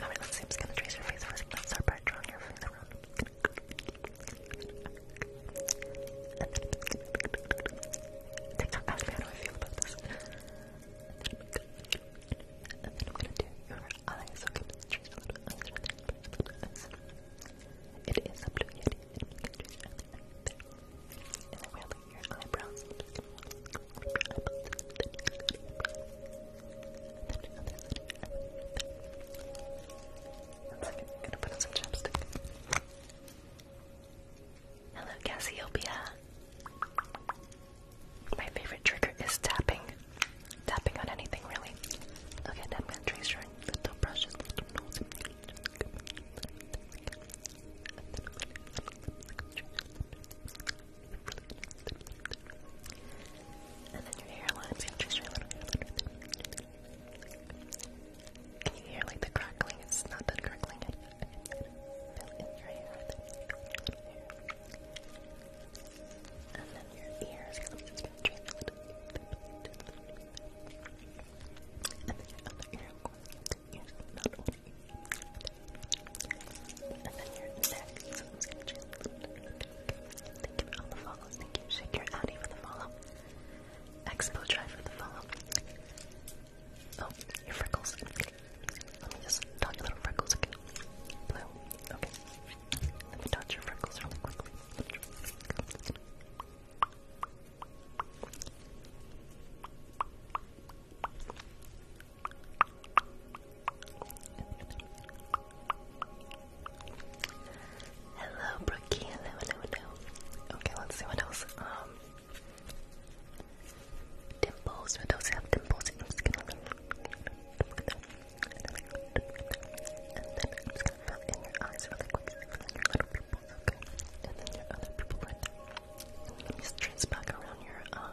Alright, let's see. I'm gonna trace your face first. Let's start by drawing your face around. TikTok asked me how I feel about this. And then I'm gonna do your eyes. It is a blue yeti. And then we're going your eyebrows i second, I'm gonna put on some chapstick. Hello, Cassiopeia. My favorite trigger is tapping. Tapping on anything, really. Okay, now I'm gonna trace your little brushes, and then your hairline's going just your little Can you hear like the crackling? It's not that crackling. And then your ears going just gonna and then your other ear, of course, your ears, and then you next. Thank you for the follows. Thank you, Shake Your Addy for the follow. Expo Drive for the follow. Oh, your freckles. Let me just dot your little freckles again. Blue. Okay. Let me dot your freckles really quickly. Hello, Brookie. Hello, hello, hello. Okay, let's see what else. Um, dimples. What else have dimples? i just gonna fill in your eyes Fill in your little pupils, okay? And then your other pupil Let me trace back around your um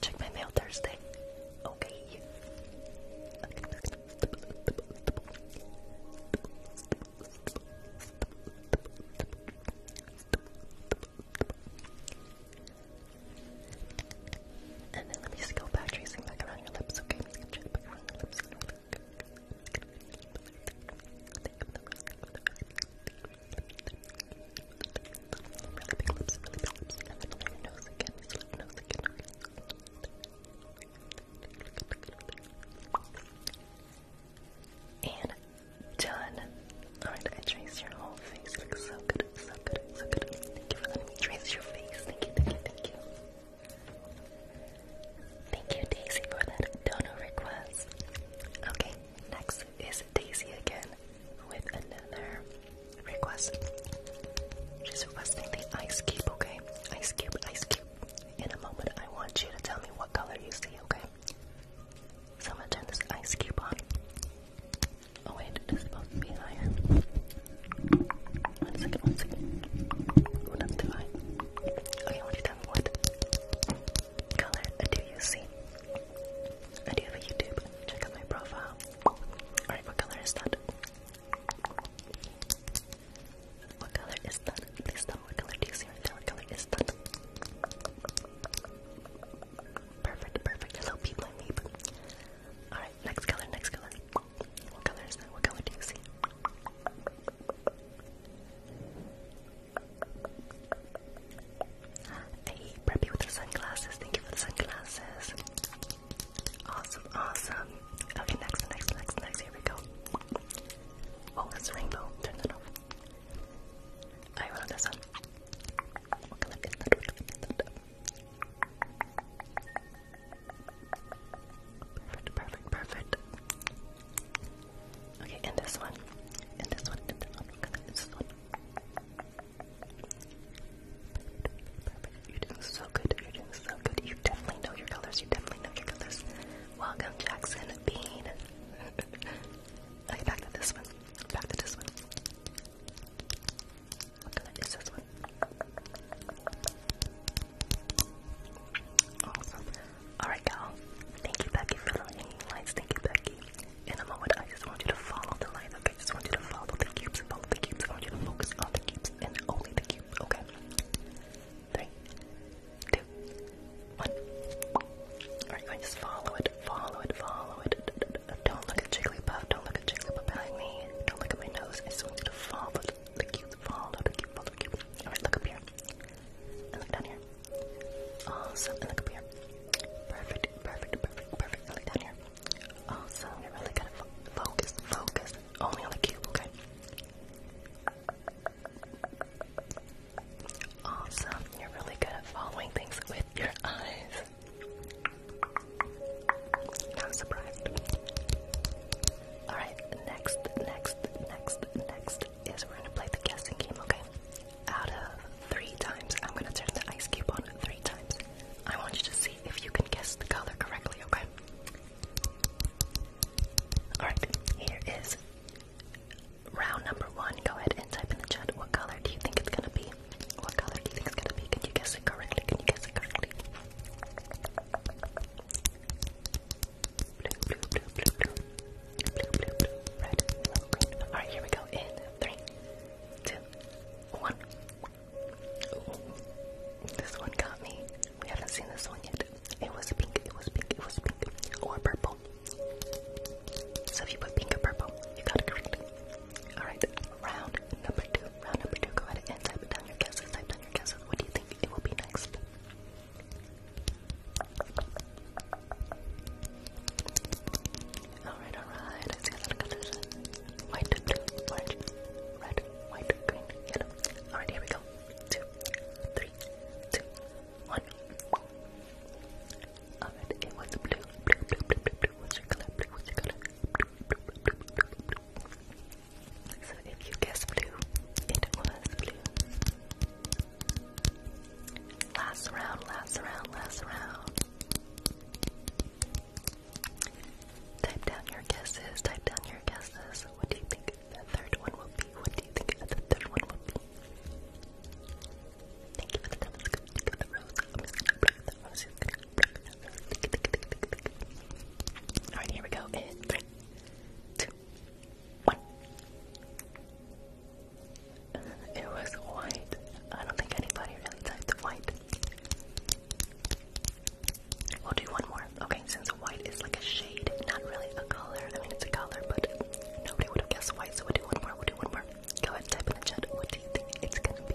Check my mail Thursday. Okay. And then let me just go back tracing back around your lips, okay? and done. Alright, oh I traced your whole face. looks so good, so good, so good. Thank you for letting me trace your face. Thank you, thank you, thank you. Thank you, Daisy, for that donor request. Okay, next is Daisy again with another request. She's requesting the ice cube, okay? Ice cube, ice cube. In a moment, I want you to tell me what color you see, okay? So I'm gonna turn this ice cube on. Oh wait, it's supposed to be higher. One second, one second. Okay, what you have? What color do you see? I do have a YouTube. Check out my profile. Alright, what color is that? What color is that? Please tell me what color do you see What color is that? Perfect, perfect. Hello, people and people. Alright, next color, next color. What color is that? What color do you see? Hey, Preppy with the sunglasses. Thank you for the sunglasses. Awesome, awesome. Okay, next, next, next, next. Here we go. Oh, that's rainbow. Turn that off. I love this one. is that? Perfect, perfect, perfect. Okay, and this one, and this one, and this one, Perfect. You're doing so good. You're doing so good. You definitely know your colors. You definitely know your colors. Welcome, Jackson Bean. okay, back to this one. Back to this one. What color is this one? Awesome. Alright, you Thank you, Becky, for the lights. Thank you, Becky. In a moment, I just want you to follow the lights, okay? I just want you to follow the cubes, follow the cubes. I want you to focus on the cubes and only the cubes, okay? Three, two, one. Alright, just follow it, follow it, follow it. Don't look at Jigglypuff, don't look at Jigglypuff behind me. Don't look at my nose. I just want you to follow Look you fall, look you fall, look you. Alright, look up here. And look down here. Awesome. And look up here. Perfect, perfect, perfect, perfect. look down here. Awesome. You're really good at focus, focus. Only on the cube, okay? Awesome. You're really good at following things with your eyes. Not surprised. Alright, next, next, next, next is we're gonna play the guessing game, okay? Out of three times, I'm gonna turn the ice cube on three times. I want you to see if you can guess the color correctly, okay? Alright, here is round number one. Go ahead and type in the chat what color do you think it's gonna be? What color do you think it's gonna be? Can you guess it correctly? Can you guess it correctly? Alright, here we go. In three, two, one. This one got me. We haven't seen this one yet. It was pink, it was pink, it was pink. Or purple. So if you put pink or purple, you got it correct. Alright, round number two. Round number two. Go ahead and type down your guesses. Type down your guesses. What do you think it will be next? Alright, alright, I see a lot of White, orange, red, white, green, yellow. Alright, here we go. Two, three, two, one. Alright, it was blue, blue, blue, blue, blue, What's your color? Blue, what's your color? blue, blue, blue, blue, blue. So if you guessed blue, it was blue. Last round, last round, last round. Type down your guesses, type down your guesses. What do you think the third one will be? What do you think the third one will be? Alright, here we go. In three, two, two, It was white. I don't think anybody really typed white. We'll do one more. Okay, since white is like a shade, not really a color. I mean, it's a color, but nobody would have guessed white, so we'll do one more. We'll do one more. Go ahead, type in the chat. What do you think it's gonna be?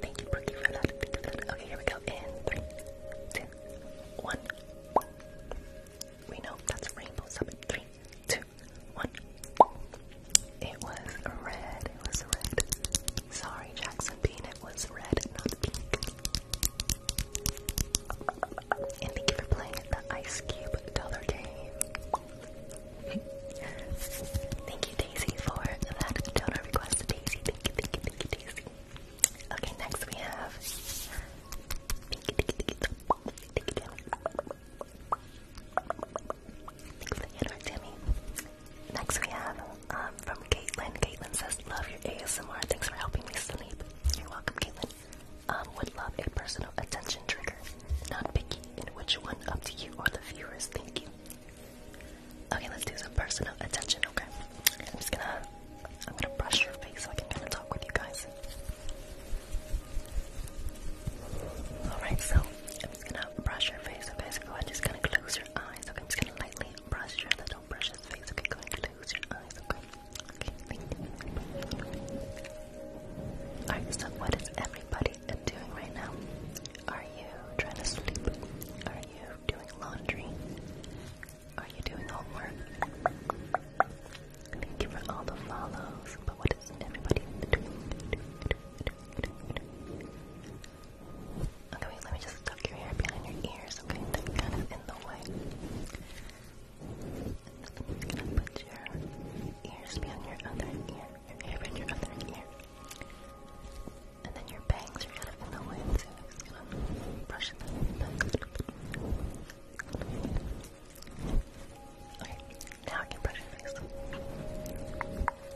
Thank you, Brookie, for that. Okay, here we go. In three, two, one. We know that's a rainbow summit. It was red. It was red. Sorry, Jackson Bean. It was red, not pink. And thank you for playing the Ice Cube Dollar Game. thank you, Daisy for that donor request. Daisy, thank you, thank you, thank you, Daisy. Okay, next Next we have um, from Caitlin. Caitlin says, "Love your ASMR. Thanks for helping me sleep." You're welcome, Caitlin. Um, would love a personal attention trigger. Not picky which one, up to you or the viewers. Thank you. Okay, let's do some personal attention, okay? I'm just gonna I'm gonna brush your face so I can kinda talk with you guys. Alright, so I'm just gonna brush your face, okay? So go ahead, just kinda close your eyes, okay? I'm just gonna lightly brush your little brush his face, okay? Go ahead, close your eyes, okay? Okay, Alright, so what is everybody am doing right now. Are you trying to sleep? Are you doing laundry? Are you doing homework? Thank you for all the follows. But what is everybody doing? Okay, wait, let me just tuck your hair behind your ears, okay? That's kind of in the way. I'm gonna put your ears behind your other ear your ear and your other ear. And then your bangs are out of the way, so I'm gonna brush them Okay, now I can brush your face.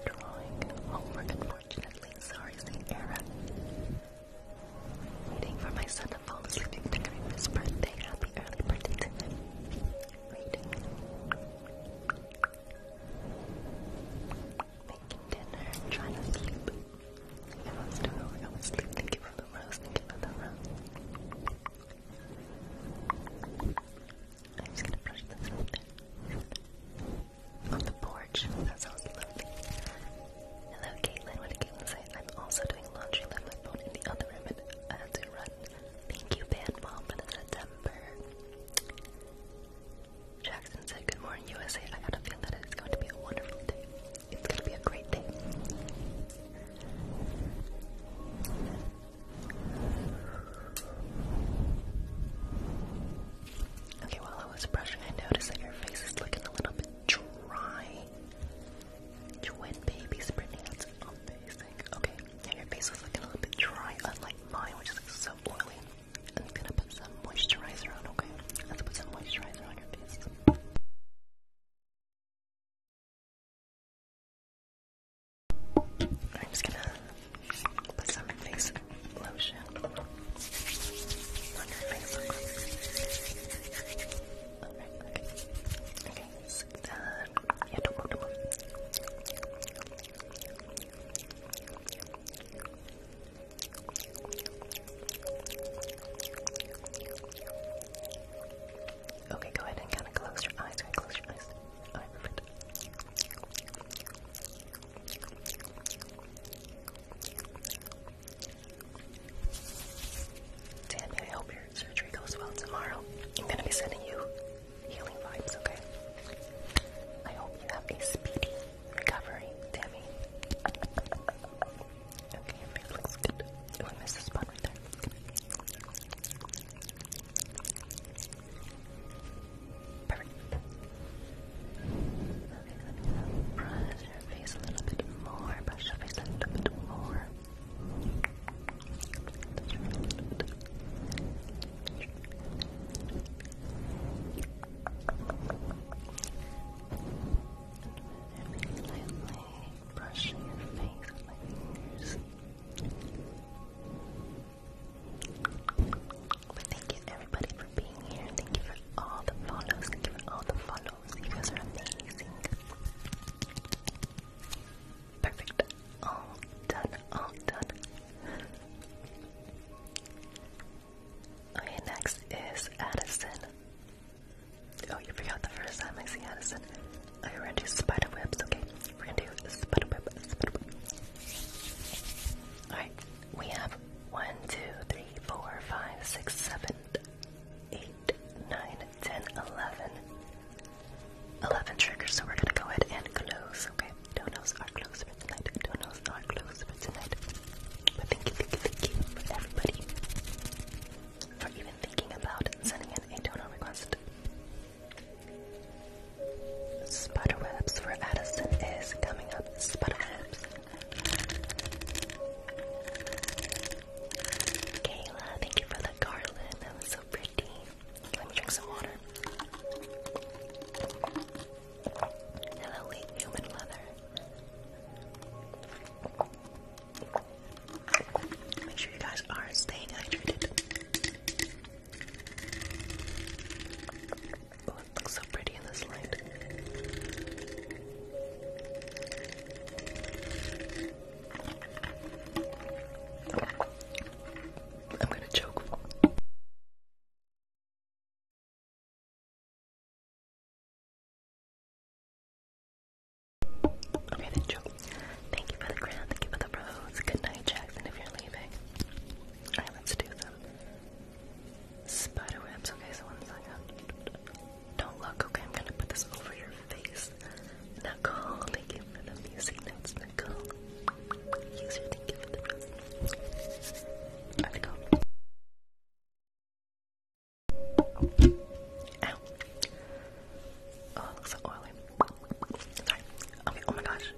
Drawing homework, unfortunately. Sorry, it's Waiting for my son to fall asleep and decorate his birthday. Happy early birthday to making dinner, trying to sleep. I almost don't know where I Thank you for the rose, thank you for the rose. I'm just gonna brush this out On the porch, Hello Caitlin, what did Caitlin say? I'm also doing laundry, left my phone in the other room I had to run. Thank you, Band Mom, for September. Jackson said, Good morning, USA. I got a feeling that it's going to be a wonderful day. It's going to be a great day. Okay, while I was brushing, I noticed that your face is looking a little bit dry. Twin babies, Brittany, amazing. Okay, now your face was looking a little bit dry, unlike mine, which is so oily. I'm gonna put some moisturizer on, okay? Let's put some moisturizer on your face. I'm just gonna put some face lotion on your face. Alright, okay. Okay, done. Yeah, don't move, don't move. Okay, go ahead and kind of close your eyes. Right, close your eyes. Alright, perfect. Tammy, I hope your surgery goes well tomorrow. I'm gonna be sending you healing vibes, okay? I hope you have a speedy recovering, Tammy. okay, your face looks good. Oh, I missed the spot right there. Perfect. Uh, brush your face a little bit more. Brush your face a little bit more. Gently brushing your face with my fingers. But thank you everybody for being here. Thank you for all the follows. Thank you for all the follows. You guys are amazing. Perfect. All done. All done. Okay, next is Addison. Oh, you forgot the first time I see Addison. Okay, we're gonna do spider webs, okay? We're gonna do spider web, Alright, we have 1, 2, 3, 4, 5, 6, 7, 8, 9, 10, 11. 11 triggers, so we're gonna go ahead and close, okay? right, donuts are closed for tonight. Donuts are closed for tonight. But thank you, thank you, thank you for everybody for even thinking about sending in a donor request. Spiderwebs for Addison is coming up. Spiderwebs. Kayla, thank you for the garland. That was so pretty. Let me drink some water and elite human leather. Make sure you guys are staying hydrated. Oh, it looks so pretty in this light. I'm gonna choke. Okay, then Joe. Thank you for the grand, thank you for the rose. Good night, Jackson, if you're leaving. Alright, let's do them. Spider webs, okay, so one second. Don't look, okay, I'm gonna put this over your face. Nicole, thank you for the music notes, Nicole. Let's go. Ow. Oh, it looks so oily. Sorry. Okay, oh my gosh.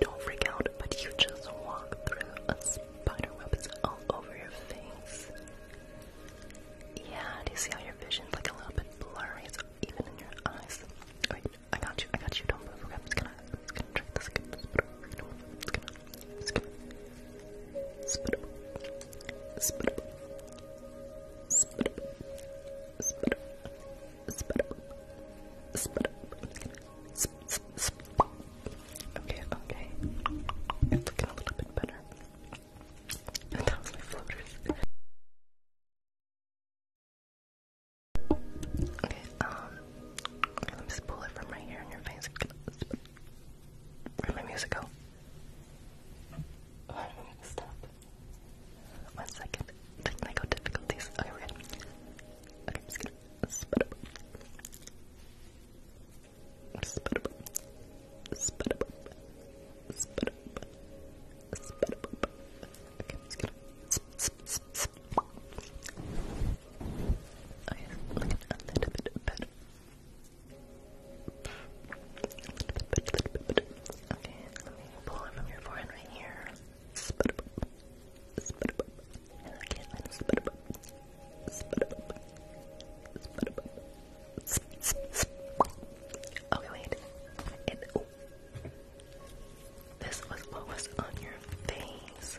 Don't freak out, but you just walked through a spider web. It's all over your face. Yeah, do you see how your vision's like a little bit blurry? It's even in your eyes. I got you, I got you. Don't move. Okay, I'm just Okay, okay. It's looking a little bit better. And that was my floaters. Okay, um, let me just pull it from right here in your face. where my music go? Oh, I'm gonna stop. One second. Technical difficulties. Okay, we're good. Okay, I'm just gonna spit up. Spit up. Spit up. Spit up. Spit up. Okay, I'm just gonna sp sp sp yes. Oh yes, looking a little bit better. Okay, let me pull it from your forehead right here. Okay, wait. This was what was on your face.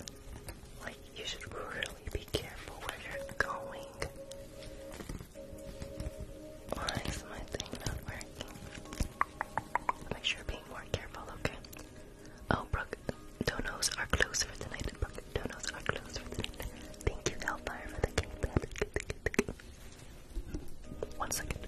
Like you should really be careful where you're going. Why is my thing not working? Make sure being more careful, okay? Oh, Brooke, donos are closed for tonight. Brooke, are closed for tonight. Thank you, Hellfire, for the game. One second.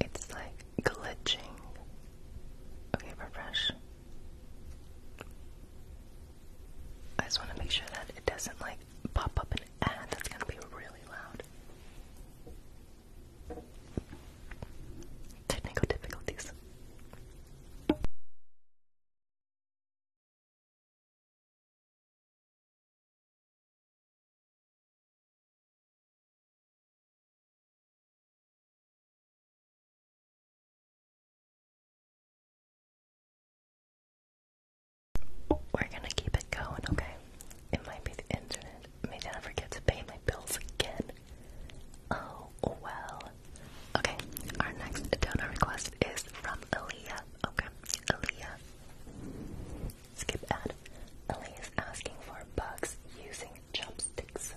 It's like glitching. Okay, refresh. I just want to make sure that it doesn't like pop up an ad that's going to be really loud. Technical difficulties. We're gonna keep it going, okay? It might be the internet. May never forget to pay my bills again. Oh well. Okay, our next donor request is from Aaliyah. Okay, Aaliyah. Skip ad. Aaliyah is asking for bugs using chopsticks.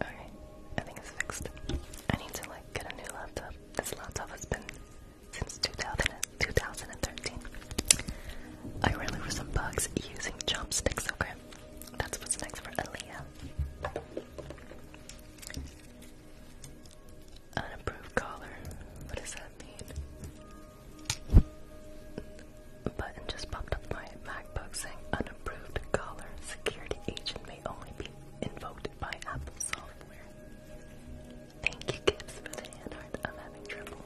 Okay, I think it's fixed. I need to like get a new laptop. This laptop has been since 2013. I ran over some bugs using chopsticks, okay? That's what's next for Aaliyah. Unapproved collar. What does that mean? button just popped up my MacBook saying unapproved collar. Security agent may only be invoked by Apple software. Thank you, Gibbs, for the hand I'm having trouble.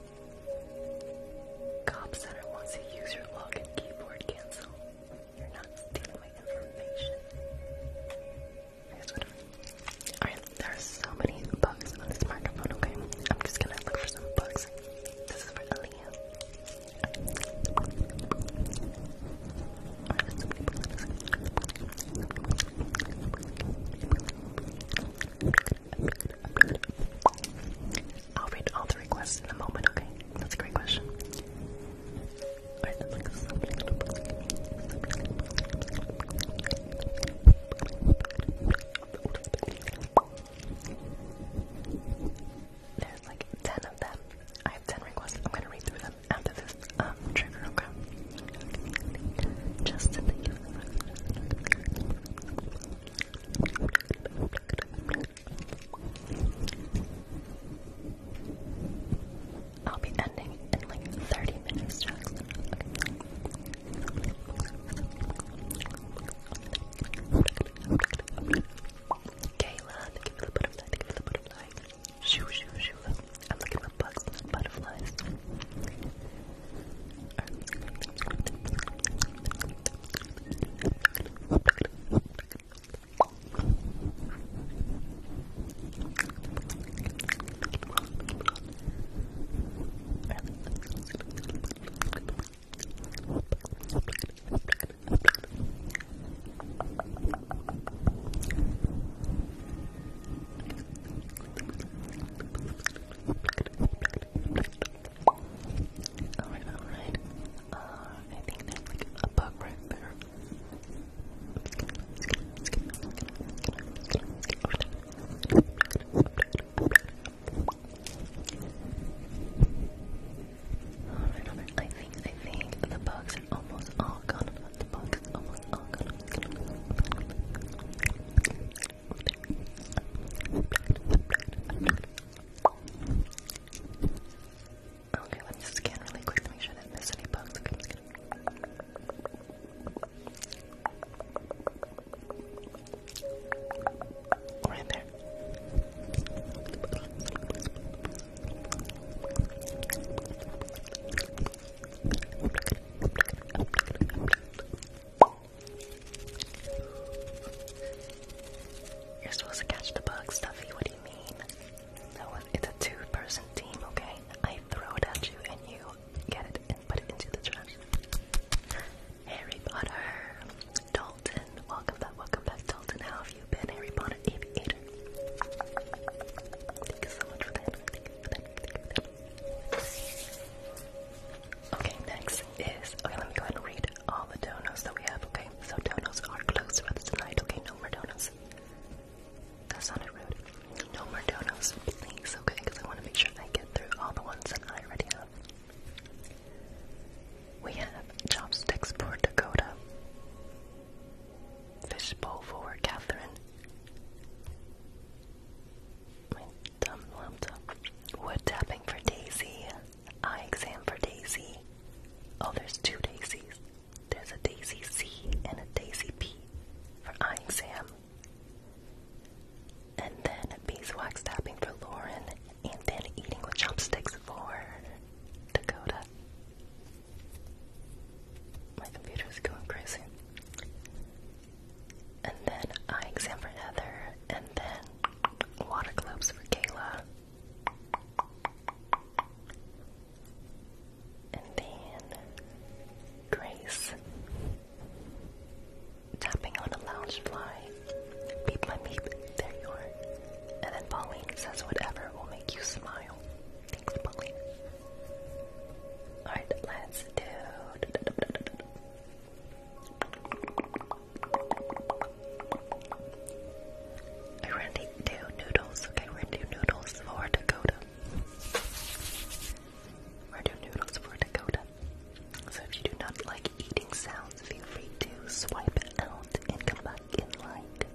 Cobb Center wants to use your login keyboard cancel. You're not stealing my information. Alright, there are so many bugs on this microphone, okay? I'm just gonna look for some bugs. This is for Aaliyah. I'll read all the requests in a moment, okay? That's a great question. Alright, There's like 10 of them. I have 10 requests. I'm gonna read through them after this um, trigger, okay? Just to think I'll be ending in like 30 minutes, Kayla, thank you the butterfly, thank you the butterfly. Shoo, shoo, shoo. I'm looking for bugs and butterflies. Alright, alright. Uh, I think there's like a bug right there. Alright, alright. I think, I think the bugs are almost all gone. The box Okay, let's scan really quick to make sure I didn't miss any bugs. Right there. You're supposed to catch the bug, Stuffy. What do you mean? No, it's a two-person team, okay? I throw it at you, and you get it and put it into the trash. Harry Potter, Dalton. Welcome back, welcome back, Dalton. How have you been, Harry Potter Thank you so much for that. Okay, next is okay. Let me go ahead and read all the donuts that we have. Okay, so donuts are closed for us tonight. Okay, no more donuts. That sounded rude. No more donuts, Okay, because I want to make sure I get through all the ones that I already have. We have chopsticks for Dakota, fish bowl for Catherine, my Wood tapping for Daisy. Eye exam for Daisy. Oh, there's two daisies. There's a daisy C and a daisy P for eye exam. And then beeswax tapping for Lauren. And then eating with chopsticks for Dakota. My computer is going crazy. And then eye exam for Heather, and then water globes for Kayla. And then Grace tapping on a lounge fly. Beep my beep, there you are. And then Pauline says whatever will make you smile. Alright, let's do. I ran two noodles. Okay, we're noodles for Dakota. We're noodles for Dakota. So if you do not like eating sounds, feel free to swipe out and come back in like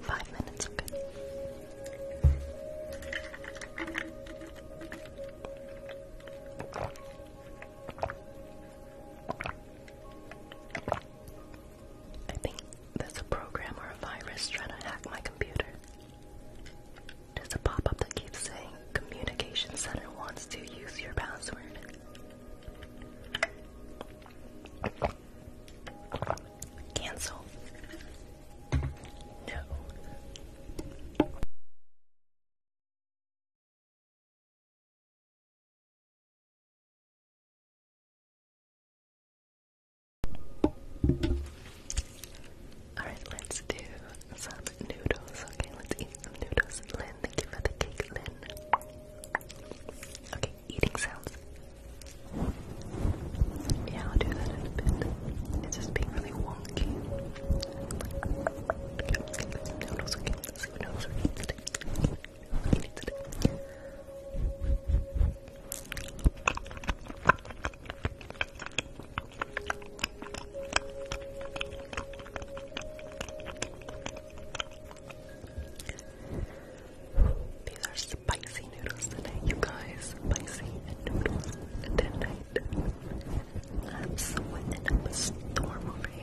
Five minutes, okay. I think there's a program or a virus trying to hack my computer. There's a pop up that keeps saying, Communication Center wants to use your password. Cancel. No. Alright, let's do some noodles. Okay, let's eat some noodles. Lynn, thank you for the cake, Lynn. Okay, eating sounds. Yeah, I'll do that in a bit. It's just being really wonky. Noodles again. Let's see what noodles we're today. today. These are spicy noodles today, you guys. Spicy noodles tonight. I'm sweating up a storm over here.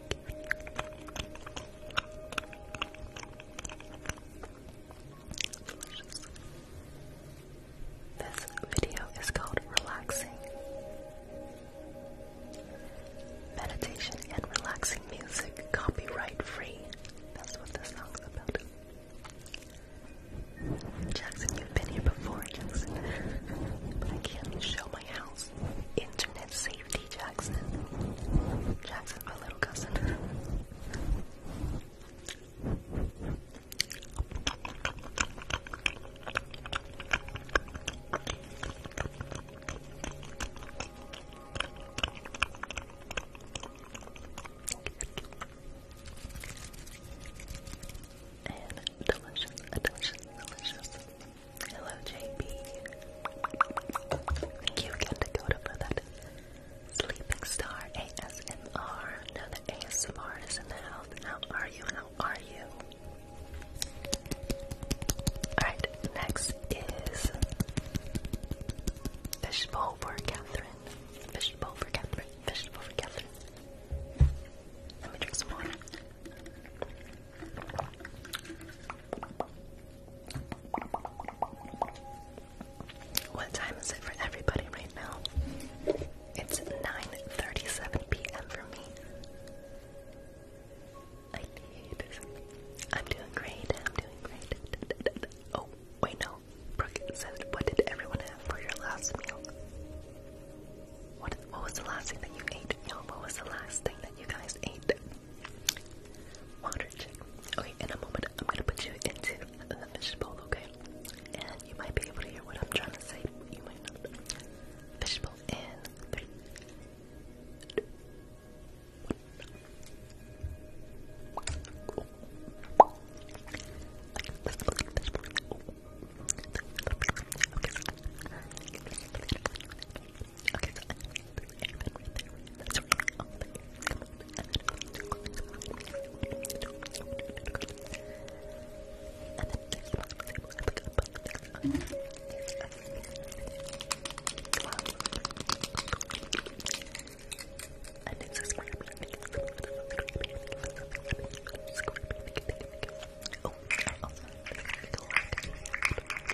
This video is called Relaxing. Meditation and relaxing music, copyright free. That's what this song's about. Jackson, you've been here before, Jackson. but I can't show my house. Internet Safety Jackson. Jackson, my little cousin. And delicious, delicious, delicious, Hello, JP. Thank you again for that sleeping star ASMR. Now that ASMR is in the house, how are you? How are you? Alright, next is Fishbowl for Catherine. Fishbowl for Catherine. Fishbowl for Catherine. Let me drink some water. What time is it for everybody right now? It's 9:37 p.m. for me. I need. I'm doing great. I'm doing great. Oh, wait, no. Brooke said, "What did everyone have for your last meal?" What, what was the last thing that you ate? Y'all, what was the last thing that you guys ate? Water chick. Okay, in a moment, I'm gonna put you into the fishbowl, okay? And you might be able to hear what I'm trying to say. You might not. Fishbowl in three. Okay, so I'm going to this airbend right there. That's right. All the air is coming out. And then there's one of the I like a bunch of things on it. And it's a scrap. Oh, I also have a little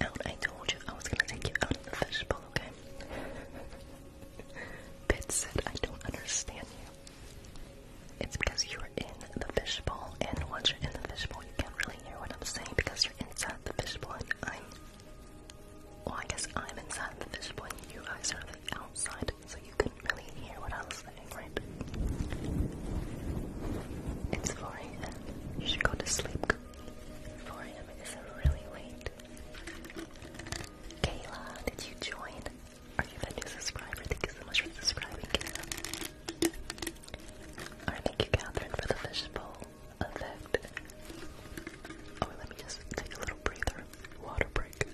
out. I told you I was gonna take you out of the fishbowl, okay? Pitt said, I don't understand you. It's because you're in the fishbowl, and once you're in the fishbowl, you can't really hear what I'm saying because you're inside the fishbowl, I'm. Well, I guess I'm inside the fishbowl, and you guys are the outside, so you couldn't really hear what I was saying, right? It's 4 a.m. You should go to sleep. 4 a.m. is really late. Kayla, did you join? Are you a new subscriber? Thank you so much for subscribing, Kayla. thank you, Catherine, for the fishbowl effect. Oh, let me just take a little breather. Water break.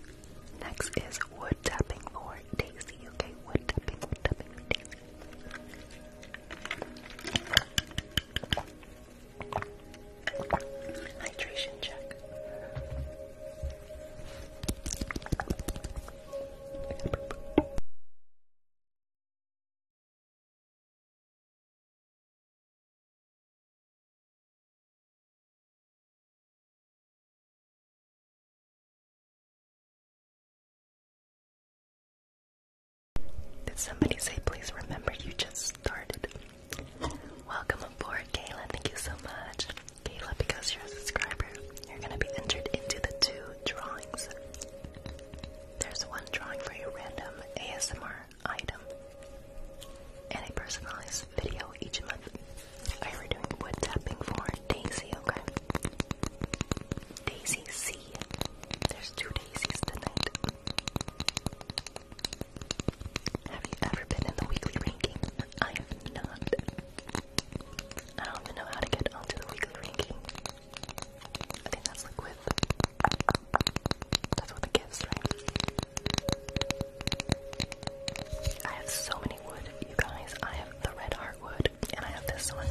Next is wood tapping for Daisy. Okay, wood tapping, tapping Hydration check. Did somebody say, please remember you just started? Welcome aboard, Kayla. Thank you so much. Kayla, because you're a subscriber, you're going to be entered into the two drawings. There's one drawing for a random ASMR item and a personalized video each month. I oh, doing wood tapping for Daisy, okay? Daisy C. There's two Daisies tonight. Have you ever been in the weekly ranking? I have not. I don't even know how to get onto the weekly ranking. I think that's like That's what the gifts, right? I have so many wood, you guys. I have the red heartwood, and I have this one.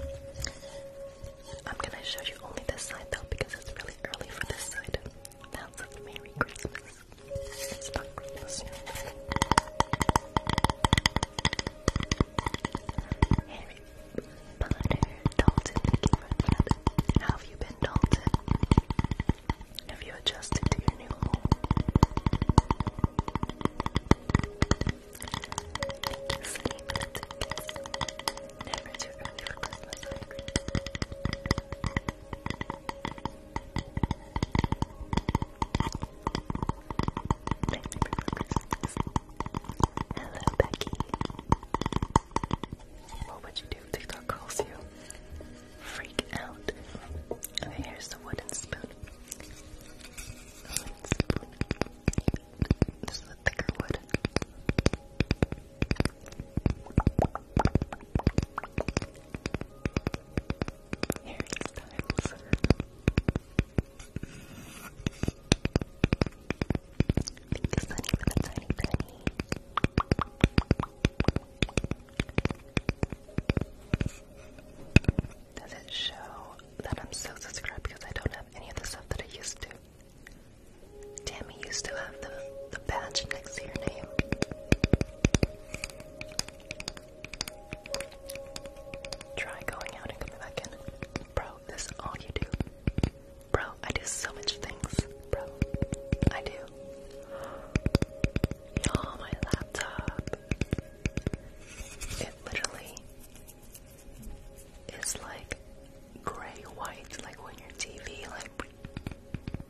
I'm gonna show you only this side though because it's really early for this side. Merry Christmas. It's Christmas yet. Harry Potter, Dalton, thank you for that. How have you been, Dalton? Have you adjusted to your new home? Thank you, Sunny, Christmas, Hello, Becky. What would you do if TikTok calls you? Freak out. Okay, here's the wooden spoon. This is a thicker wood. Harry Styles. Thank you, Sunny, tiny penny. Does it show that I'm so subscribed because I don't have any of the stuff that I used to? Tammy used to have the, the badge next to your name. Try going out and coming back in. Bro, this is all you do. Bro, I do so much things. Bro, I do. Oh, my laptop. It literally is like gray white, like when your TV like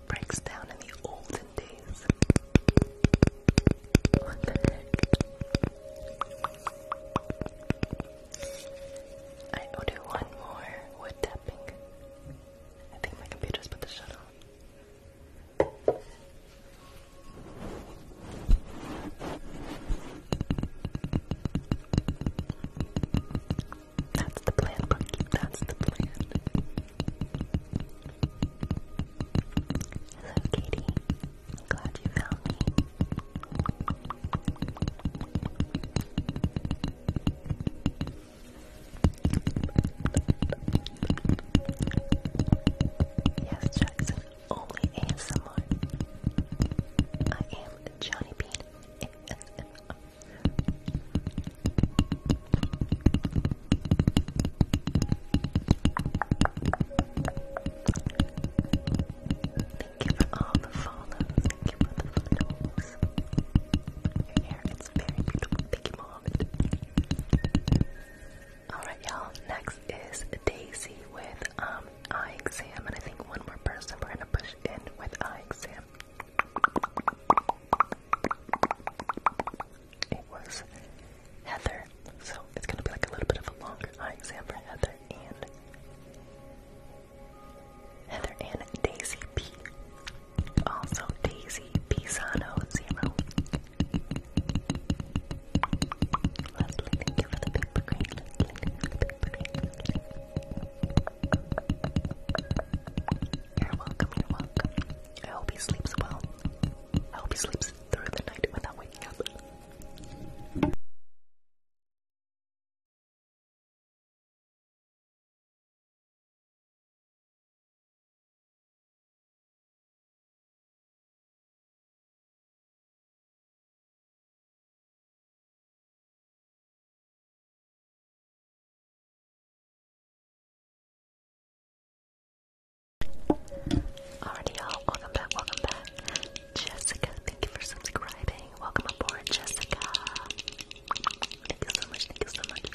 breaks down in the olden days. I will one more wood tapping. I think my computer's put the shut on. That's the plan, Bucky. That's the plan. Hello, Katie. glad you found me. Yes, Jackson. Only ASMR. I am Johnny Bean. Thank you for all the follows. Thank you for the follows. Your hair is very beautiful. Thank you, Mohammed. Alright, y'all. Next is Daisy with um eye And I think one more person we're gonna push in with eye exam. It was Heather, so it's gonna be like a little bit of a longer eye exam for Heather and Heather and Daisy P. Also Daisy Pisano Zero. Leslie, thank you you for the paper green welcome, welcome. I hope he sleeps well. I hope he sleeps through the night without waking up. Alrighty y'all, welcome back, welcome back. Jessica, thank you for subscribing. Welcome aboard, Jessica. Thank you so much, thank you so much.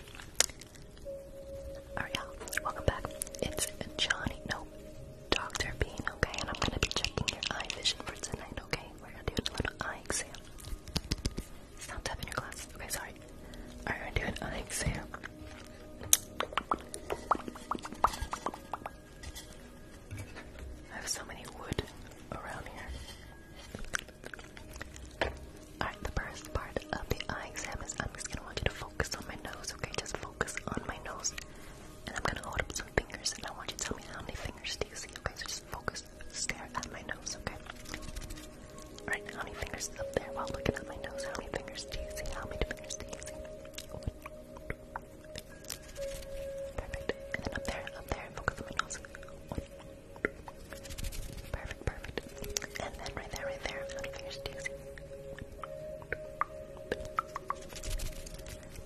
Alright y'all, welcome back. It's Johnny, no, Dr. Bean, okay? And I'm gonna be checking your eye vision for tonight, okay? We're gonna do a little eye exam. Stop tapping your glasses. Okay, sorry. Alright, we're gonna do an eye exam. I have so many wood around here. Alright, the first part of the eye exam is I'm just gonna want you to focus on my nose, okay? Just focus on my nose. And I'm gonna hold up some fingers and I want you to tell me how many fingers do you see, okay? So just focus stare at my nose, okay? Alright, how many fingers is up there while looking at my nose? How many fingers do you see? How many fingers do you see? Perfect. And then up there, up there, focus on my nose. Perfect, perfect. And then right there, right there, how many fingers do you see?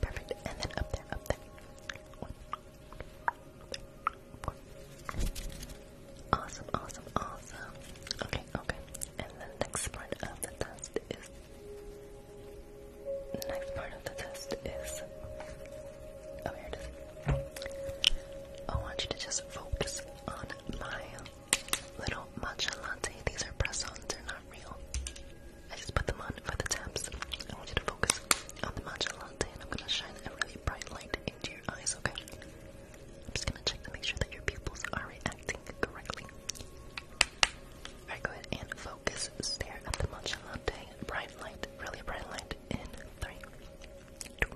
Perfect. And then up there, up there. Awesome, awesome, awesome. Okay, okay. And the next part of the test is. The next part of the test is. Oh, here it is. I want you to just focus on my little matcha These are press ons, they're not real. I just put them on for the taps. I want you to focus on the matcha and I'm gonna shine a really bright light into your eyes, okay? I'm just gonna check to make sure that your pupils are reacting correctly. Alright, go ahead and focus. Stare at the matcha Bright light, really bright light. In three, two,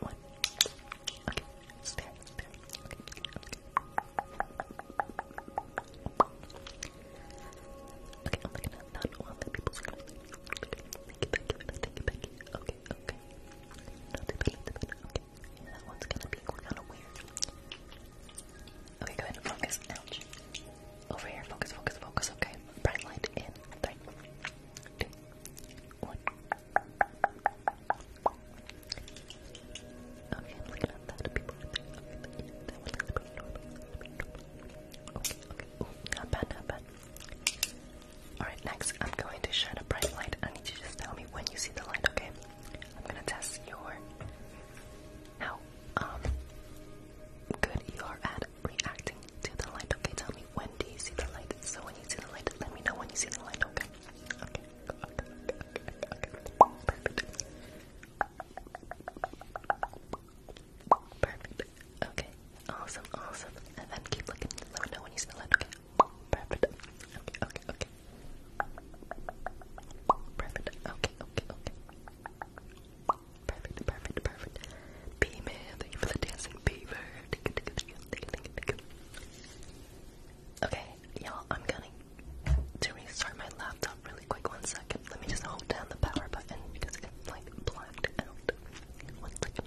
one. Okay, stare, Okay okay, okay. Little bit, little okay. that one's gonna be kinda weird. Okay, go ahead and focus. Ouch. Over here, focus, focus, focus, okay. Bright light in. Three, two, one. Okay, look at that. Okay, Okay, not bad, not bad. Alright, next I'm going to shine a bright light. I need you to just tell me when you see the light, okay? I'm gonna test your how um, good you are at reacting to the light. Okay, tell me when do you see the light? So when you see the light, let me know when you see the light, okay. Perfect. Perfect. Okay, awesome, awesome. And then keep looking. Let me know when you smell it. Okay, perfect. Okay, okay, okay. Perfect. Okay, okay, okay. Perfect, perfect, perfect. B man, thank you for the dancing beaver. Okay, y'all, I'm gonna restart my laptop really quick. One second. Let me just hold down the power button because it's like blacked out. One second.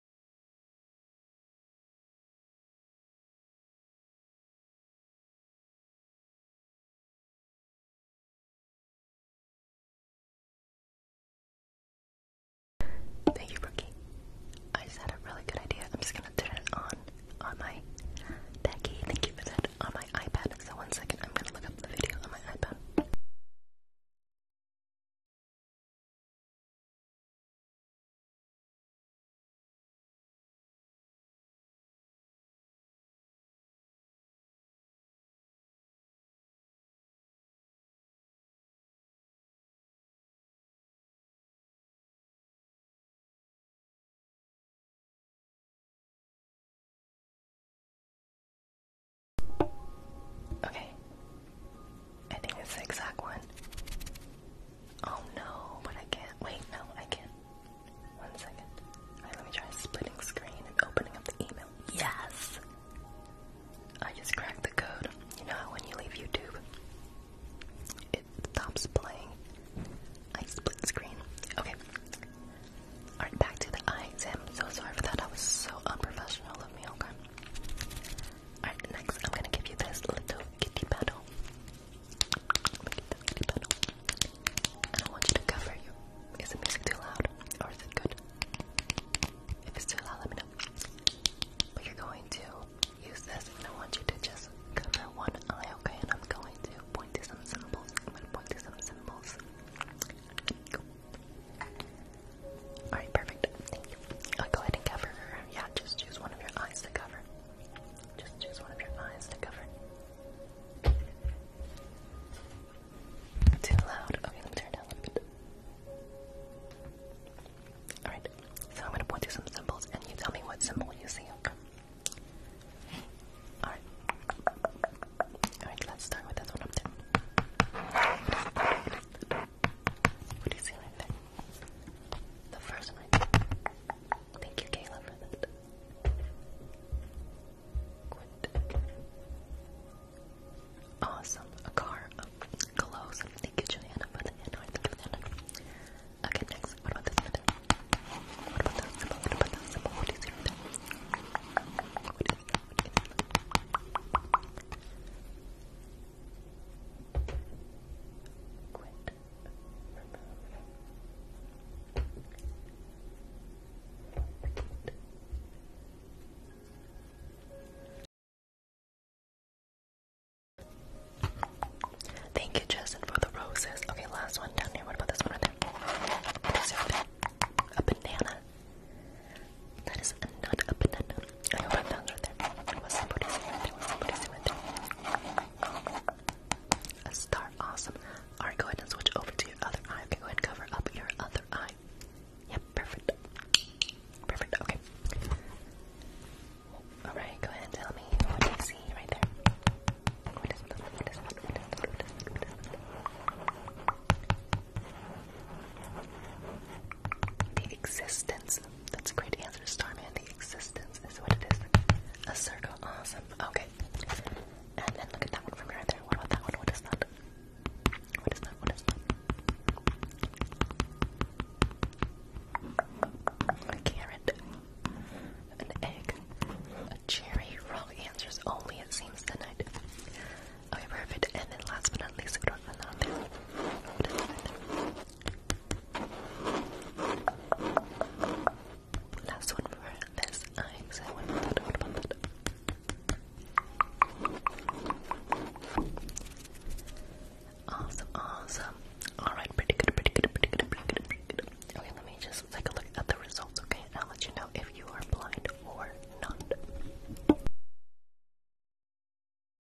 Thank you, Brookie. I just had a really good idea. I'm just gonna turn it on on my Becky. Thank you for that. On my iPad. So one second, I'm gonna look up the video on my iPad. Okay. I think it's the exact one. Oh no, but I can't. Wait, no, I can't. One second. Alright, let me try splitting screen and opening up the email. Yes! I just cracked the code. You know how when you leave YouTube, it stops playing. I split screen. Okay. Alright, back to the eye exam. So sorry for that. I was so unprofessional of me, okay? Alright, next I'm gonna give you this little kitty paddle. Look at this want you to cover Is the music too loud? Or is it good? If it's too loud, let me know. But you're going to use this and I want you to just cover one eye, okay? And I'm going to point to some symbols. I'm gonna point to some symbols. Alright, perfect. Thank you. I'll go ahead and cover Yeah, just use one of your eyes to cover. Just choose one your eyes to cover. Too loud. Okay, let me turn down a little bit. Alright, so I'm gonna point to some symbols and you tell me what symbol you see. Okay. Alright. Alright, let's start with this one up there. What do you see right there? The first one. Thank you, Kayla, for that. Awesome. A car of Thank you, Juliana, for the Android. Thank you, Juliana. Okay, next. What about this one? What about that symbol? What about that symbol? What is it? What is Thank you, Justin, for the roses. Okay, last one down here. What about this one right there? A banana. That is not a banana. I hope I right there. A star, awesome. Alright, go ahead and switch over to your other eye. Okay, go ahead and cover up your other eye. Yep, perfect. Perfect, okay. Alright, go ahead and tell me what you see right there? The existence that's a great answer, Starman. The existence is what it is. A circle. Awesome. Okay. And then look at that one from right there. What about that one? What is that? What is that? What is that? A carrot. An egg. A cherry. Wrong answers only, it seems, tonight. Okay, perfect. And then last but not least, what about that? What is that? Last one for this eye, Awesome, awesome. Alright, pretty good, pretty good, pretty good, pretty good, Okay, let me just take a look at the results, okay? I'll let you know if you are blind or not.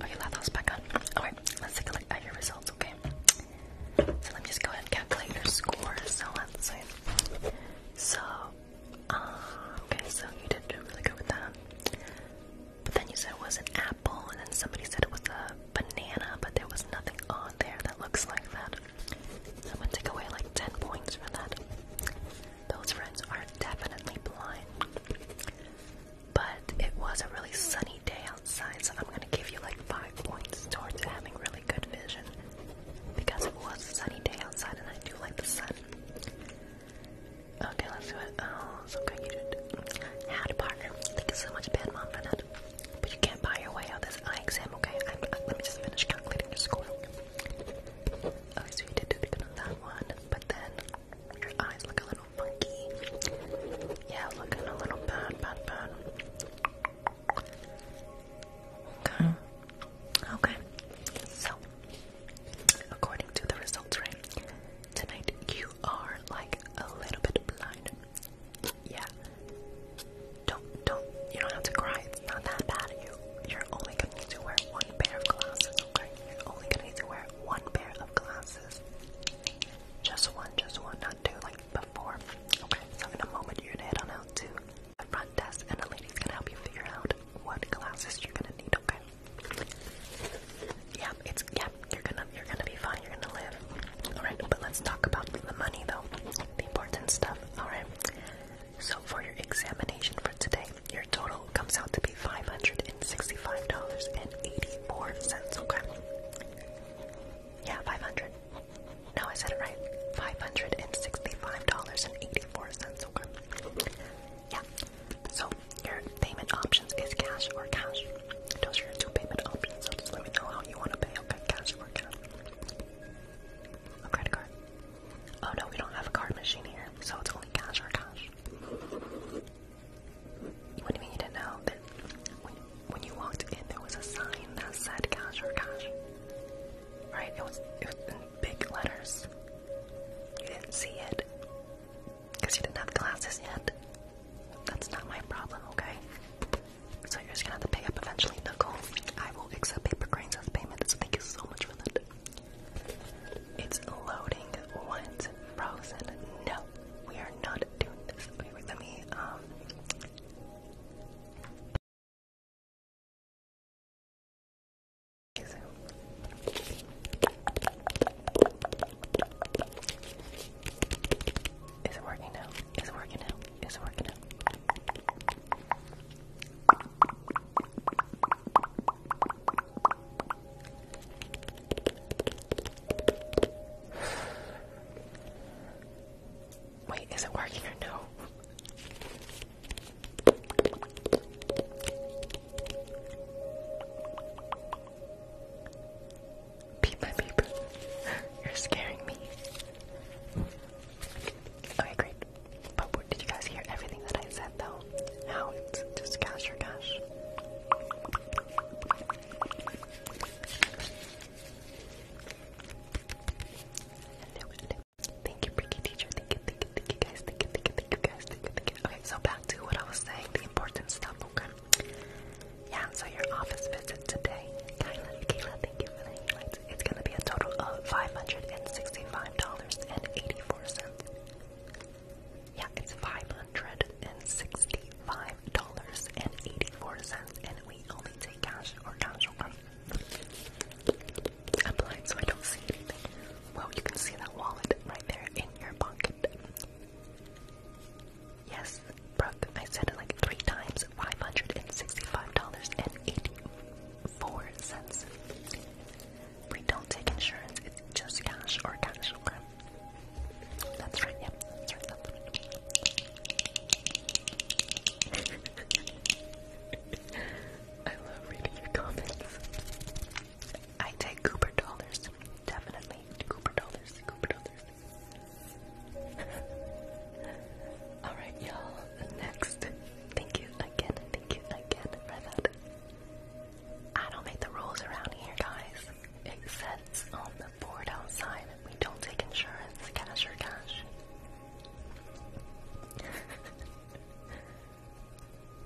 Okay, that was back on. Alright, let's take a look at your results, okay? So let me just go ahead and calculate your score. So let's see. So, uh, okay, so you did do really good with that. But then you said it was an apple, and then somebody said it was a banana, but there was nothing on there that looks like that. I'm gonna take away like 10 points for that. Those friends are definitely blind. But it was a really sunny day outside, so I'm gonna give you like five points towards having really good vision. Because it was a sunny day outside and I do like the sun. Okay, let's do it. Oh, so good you did. How to partner. Thank you so much, bad mom, for that. But you can't buy your way out of this exam, okay? Uh, let me just finish calculating your score. Oh, so you did do good on that one, but then your eyes look a little funky. Yeah, looking a little bad, bad, bad. Okay. Okay. So, according to the results, right? Tonight you are like a little bit blind. Yeah. Don't, don't, you don't have to cry. It's not that bad you, are only gonna need to wear one pair of glasses, okay? You're only gonna need to wear one pair of glasses. Just one, just one, not two, like before. Okay, so in a moment you're gonna head on out to the front desk and the lady's gonna help you figure out what glasses you're gonna need, okay? Yeah, it's yeah, you're gonna you're gonna be fine, you're gonna live. Alright, but let's talk about the money though. The important stuff, alright? So for your examination for today, your total comes out to be $565.84, okay? Yeah, 500. No, I said it right. $565.84, okay? Yeah. So your payment options is cash or cash. Those are your two payment options, so just let me know how you want to pay, okay? Cash or cash. A credit card. Oh no, we don't have a card machine here, so it's only cash or cash. What do you mean you didn't know that when, you walked in there was a sign that said cash or cash? Right? It was, it was in big letters. You didn't see it because you didn't have glasses yet. That's not my problem, okay? So you're just gonna have to pay up eventually, Nicole. I will accept paper cranes as payment, so thank you so much for that. It's loading once frozen. No, we are not doing this. Wait, wait, let me, um... Is it working now? Is it working now? Is it working now? Wait, is it working or no? Beep my beep. You're scaring me. Okay, great. But did you guys hear everything that I said though? How it's just cash or cash. Thank you, Bricky Thank you, thank you, thank you guys. Thank you, thank you, thank you guys. Thank you, thank you. Okay, so back to what I was saying, the important stuff, Yeah, so your office visit today. Kayla, Kayla, thank you for the highlights. It's gonna be a total of $565.84. Yeah, it's five hundred and sixty-five dollars and eighty-four cents, and we only take cash or cash over. i so I don't see anything. Well, you can see that wallet right there in your pocket. Yes, Brooke, I said it like three times. Five hundred and sixty-five dollars and eighty-four cents. We don't take insurance, it's just cash or cash, okay? That's right, yeah, I love reading your comments. I take Cooper dollars, definitely. Cooper dollars, Cooper dollars. Alright, y'all, next. Thank you again, thank you again for that. I don't make the rules around here, guys. It says on the board outside that we don't take insurance, cash or cash.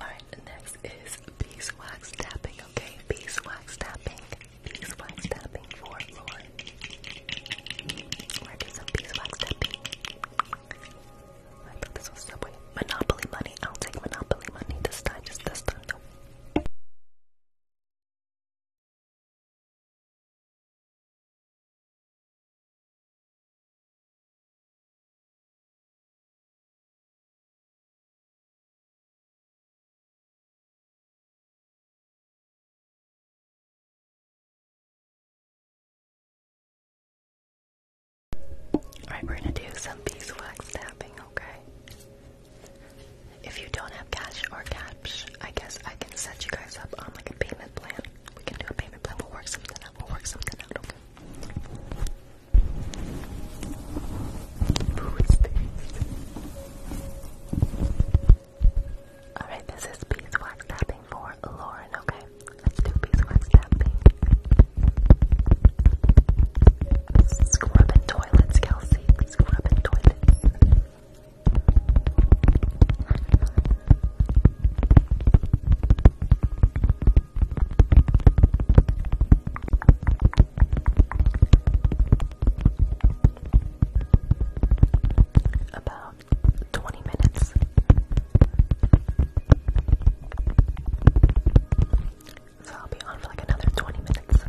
Alright, next is beeswax tapping, okay? Beeswax tapping. Beeswax tapping for Lauren. We're some beeswax tapping. I thought this was Subway. Monopoly money. I'll take Monopoly money this time. Just this time, though. Alright, we're gonna do some beeswax tapping, okay? If you don't have cash or cash, I guess I can set you guys up on like a payment plan. We can do a payment plan, we'll work something out, we'll work something out, Alright, this is beeswax tapping for Lauren, okay? let's do beeswax tapping. Scrubbing toilets, Kelsey. Scrubbing toilets. About 20 minutes. So I'll be on for like another 20 minutes.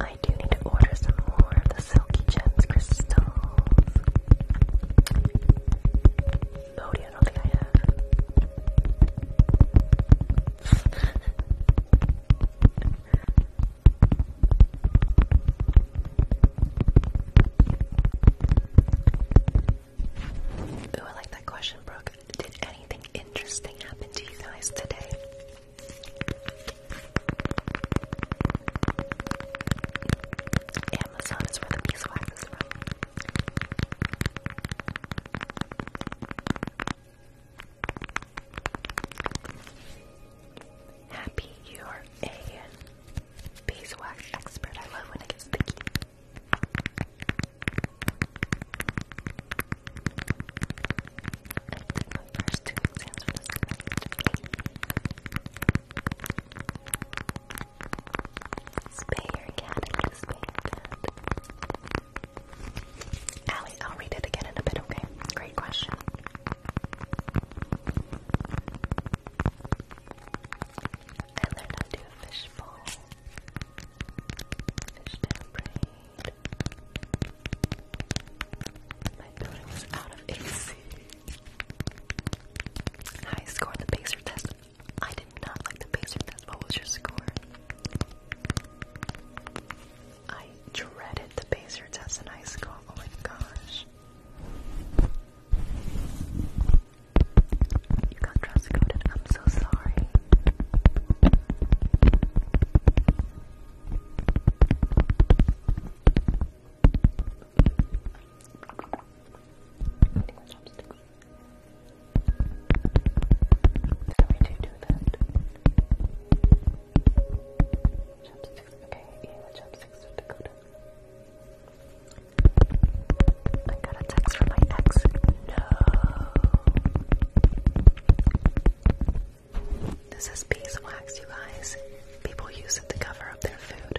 I do need to order some more of the Oh, Ooh, I like that question, Brooke. Did anything interesting happen to you guys today? Amazon is where the beeswax Happy you're a beeswax expert. I love when it gets sticky. my first two exams for this semester. Allie, I'll read it again in a bit, okay? Great question. I learned to do a fish bowl. Fish down My building was out of AC. I scored the pacer test. I did not like the pacer test. What was your score? I dreaded the pacer test in high school. Oh my gosh. You got dress I'm so sorry. So we do do that. Chopsticks, okay, I got a text from my ex. No. This is beeswax, you guys. People use it to cover up their food.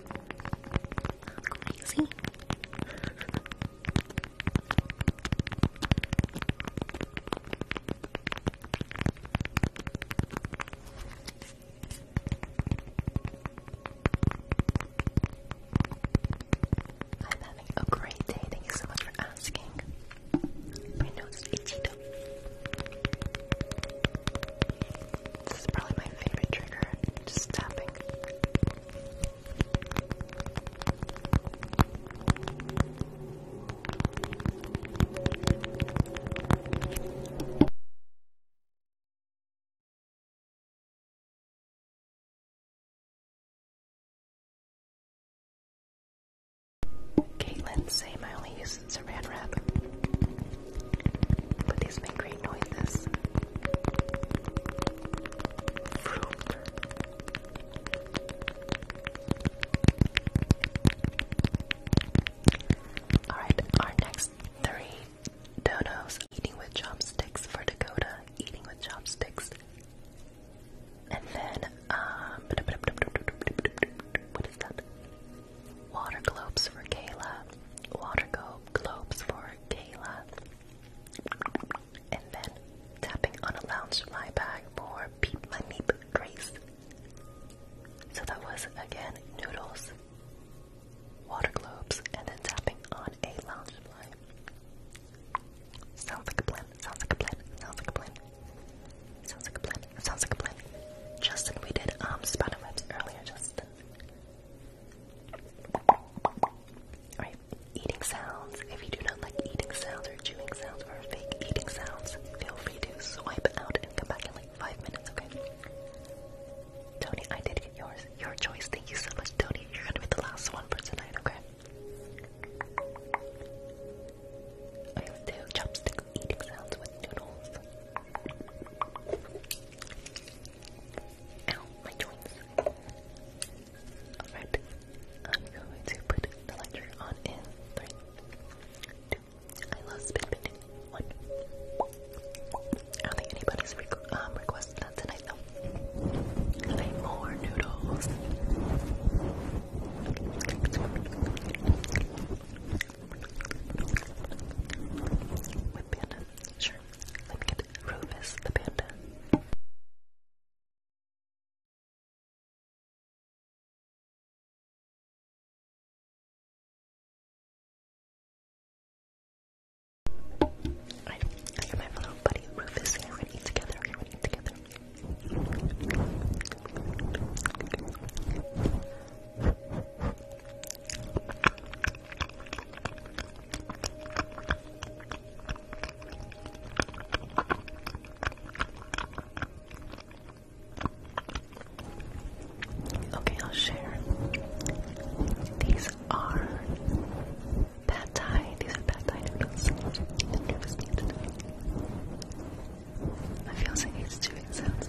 I'm having a great day. Thank you so much for asking. My itchy though. This is probably my favorite trigger, just tapping. Caitlin, same, I only use it as wrap. But these make great noises. Alright, our next three donos. Eating with chopsticks for Dakota. Eating with chopsticks. And then, um, what is that? Water globes for Kayla. Water globes for Kayla. And then tapping on a lounge fly bag for Peep My Meep Grace. So that was again noodles, water globes, and then tapping on a lounge fly. Sounds like a plan, sounds like a plan, sounds like a plan. Sounds like a plan, sounds like a plan. Justin, we did um spider webs earlier, just Alright, eating sounds. If you do not like eating sounds or chewing sounds or fake eating sounds, feel free to swipe out and come back in like five minutes, okay? Tony, I did get yours. Your choice. Thank you so much, Tony. You're gonna be the last one for tonight, okay? I will do chopsticks eating sounds with noodles. Ow, my joints. Alright, I'm going to put the lighter on in three, two, I love spin spinning, one. I don't think anybody's re um, requested that tonight though. more noodles. Whip panda. Sure. Let me get Rufus the panda. Alright, I hear my little buddy Rufus here. We're going together. we're gonna eat together. Okay, I'll share. These are bad thai. These are pad thai noodles. I feel like it's two sounds.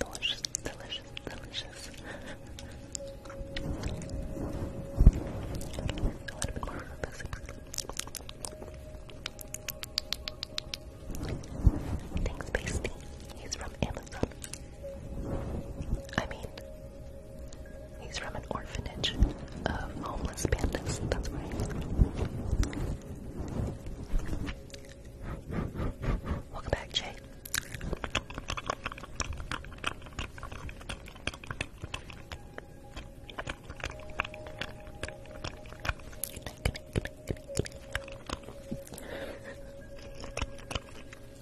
Delicious, delicious, delicious. Thanks, Pasty. He's from Amazon. I mean, he's from an orphanage of homeless pandas. Welcome back, Jay.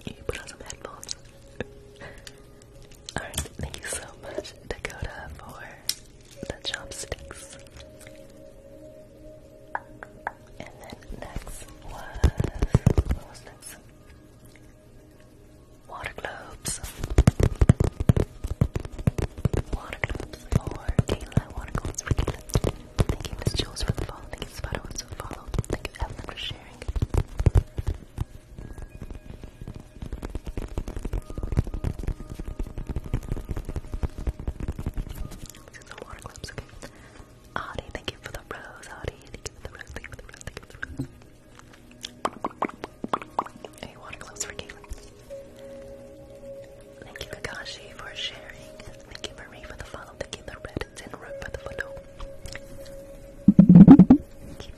You put on some headphones. Alright, thank you so much, Dakota, for the chopsticks. And then next was what was next? Water globes. Water globes for Kayla. Water globes Thank you, Miss Jules, for the follow. Thank you, Spider for the follow. Thank you, Evelyn, for sharing. These are water globes, okay. Audie, thank you for the rose. Audie, thank you for the rose. Thank you for the rose. Thank you for the Thank you, Kakashi, for sharing. Thank you, Marie, for the follow. Thank you, the red tin for the photo. Keep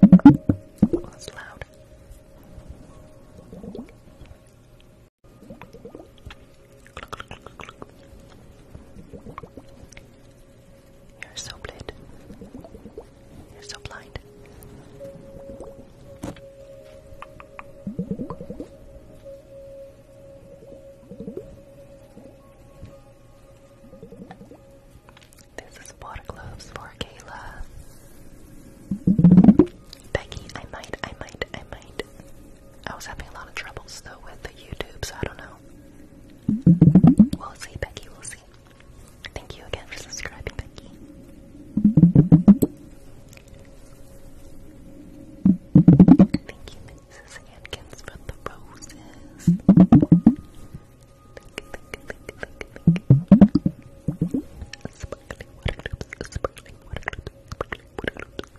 the rest of Oh, that's loud. You're so blind. You're so blind. This is water gloves for Kayla. Becky, I might, I might, I might. I was having a lot of troubles though with the YouTube, so I don't know. We'll see, Becky, we'll see. Thank you again for subscribing, Becky. Thank you, Mrs. Hankins, for the roses. Sparkling water loops, sparkling water loops, sparkling water loops.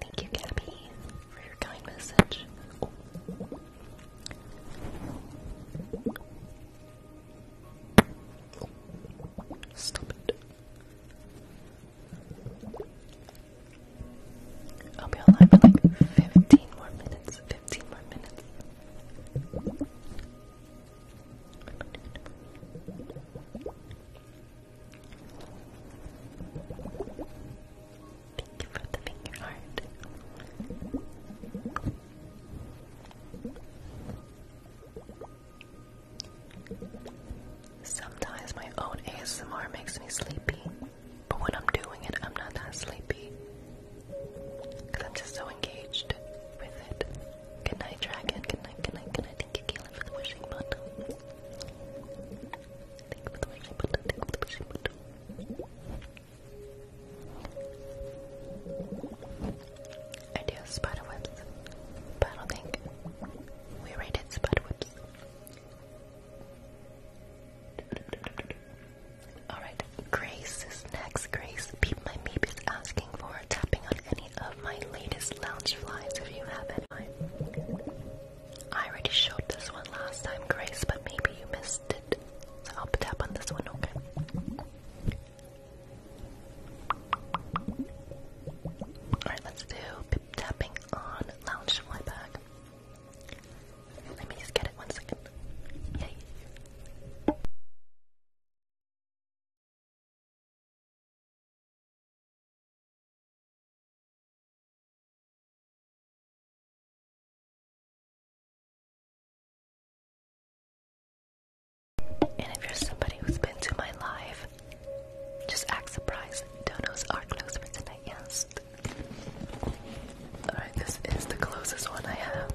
Thank you, Gabby, for your kind message. Oh. Stop it. I'll be online for like 15 more minutes. 15 more minutes. Thank you for the finger heart. Sometimes my own ASMR makes me sleepy. But when I'm doing it, I'm not that sleepy. Because I'm just so engaged with it. Good Dragon. Good night, good Thank you, Kayla, for the wishing button. Thank you for the wishing button. Thank you for the wishing button. I do spider but I don't think we rated spider Alright, Grace is next. Grace, Peep My Meep is asking for tapping on any of my latest lounge flies if you have any. I already showed this one last time, Grace, but maybe you missed it. So I'll tap on this one, okay? Alright, let's do pip tapping on lounge fly bag. Let me just get it one second. Yay. And if you're somebody who's been to my live, just act surprised. Donos are closed tonight, yes. Alright, this is the closest one I have.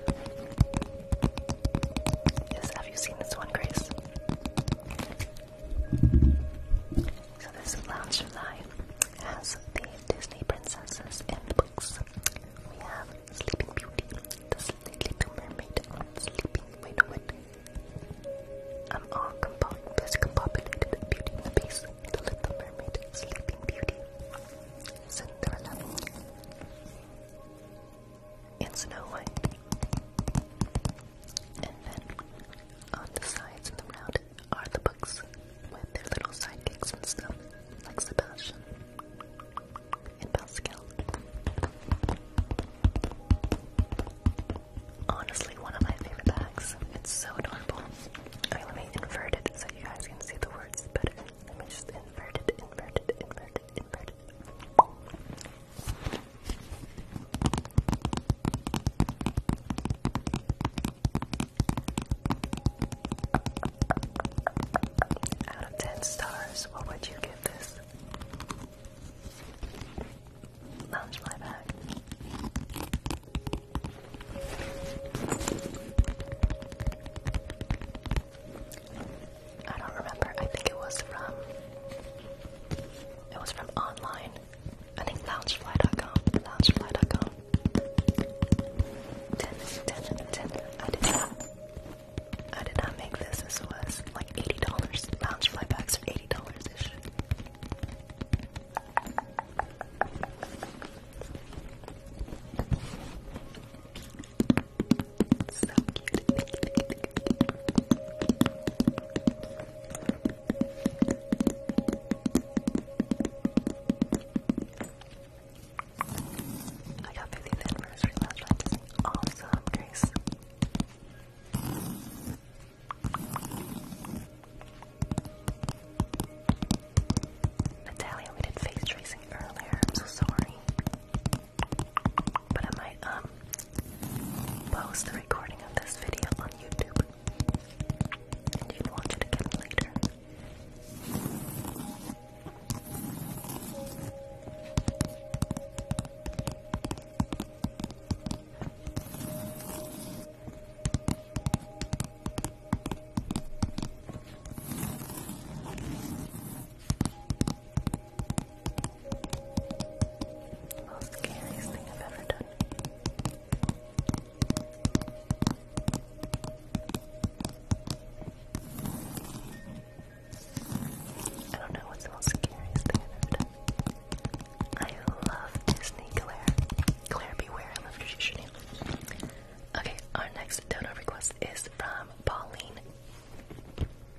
Yes, have you seen this one, Grace? So this lounge live has the Disney princesses and books. We have Sleeping Beauty, The Little Mermaid, Sleeping, wait, no, wait. I'm all discombobulated, Beauty and the Beast, Sleeping Beauty, Cinderella, and Snow White. And then on the sides of the round are the books with their little sidekicks and stuff, like Sebastian and Pascal. Honestly, one of my favorite bags. It's so adorable. Okay, let me invert it so you guys can see the words better. Let me just invert it, invert it, invert it, invert it. Out of 10 stars, what would you give this? Lounge my back. I don't remember. I think it was from it was from online. I think loungefly.com. Loungefly.com. Ten, ten, ten. I did not. I did not make this. This was like eighty dollars. Loungefly bags are eighty dollars ish. So cute. I got 50th anniversary last Awesome, Grace. Natalia, we did face tracing earlier. I'm so sorry. But I might um post the recording of this video on YouTube. And you can watch it again later. The most scariest thing I've ever done. I don't know what's the most scariest thing I've ever done. I love Disney Claire. Claire, beware, I love your shoe Okay, our next donor request is from Pauline.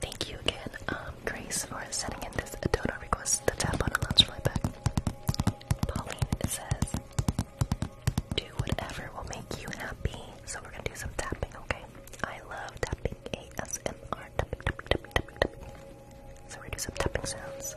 Thank you again, um, Grace, for sending in this donor request to tap on a lunch back. Pauline says, do whatever will make you happy. So we're gonna do some tapping, okay? I love tapping ASMR. Tapping, tapping, tapping, tapping, tapping. So we're gonna do some tapping sounds.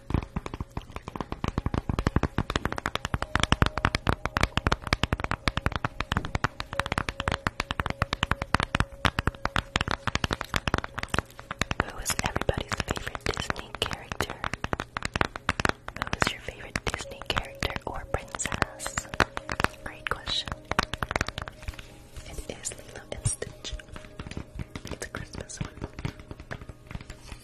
Who is everybody's favorite Disney character? Who is your favorite Disney character or princess? Great question. It is Lilo and Stitch. It's a Christmas one.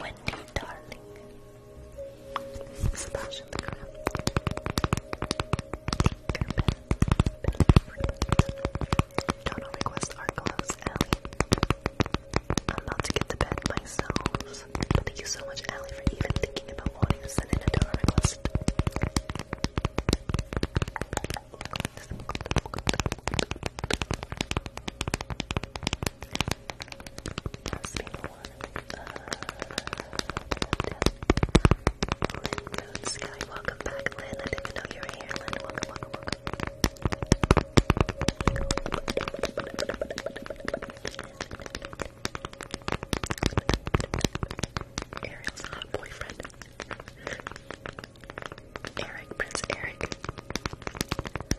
Wendy, darling. Splash in the ground. request are close, I'm about to get to bed myself. thank you so much, Allie, for even thinking about wanting to send in a request must be the one uh, Lynn welcome back Lynn, I didn't know you were here welcome, welcome, welcome Ariel's hot boyfriend Eric, Prince Eric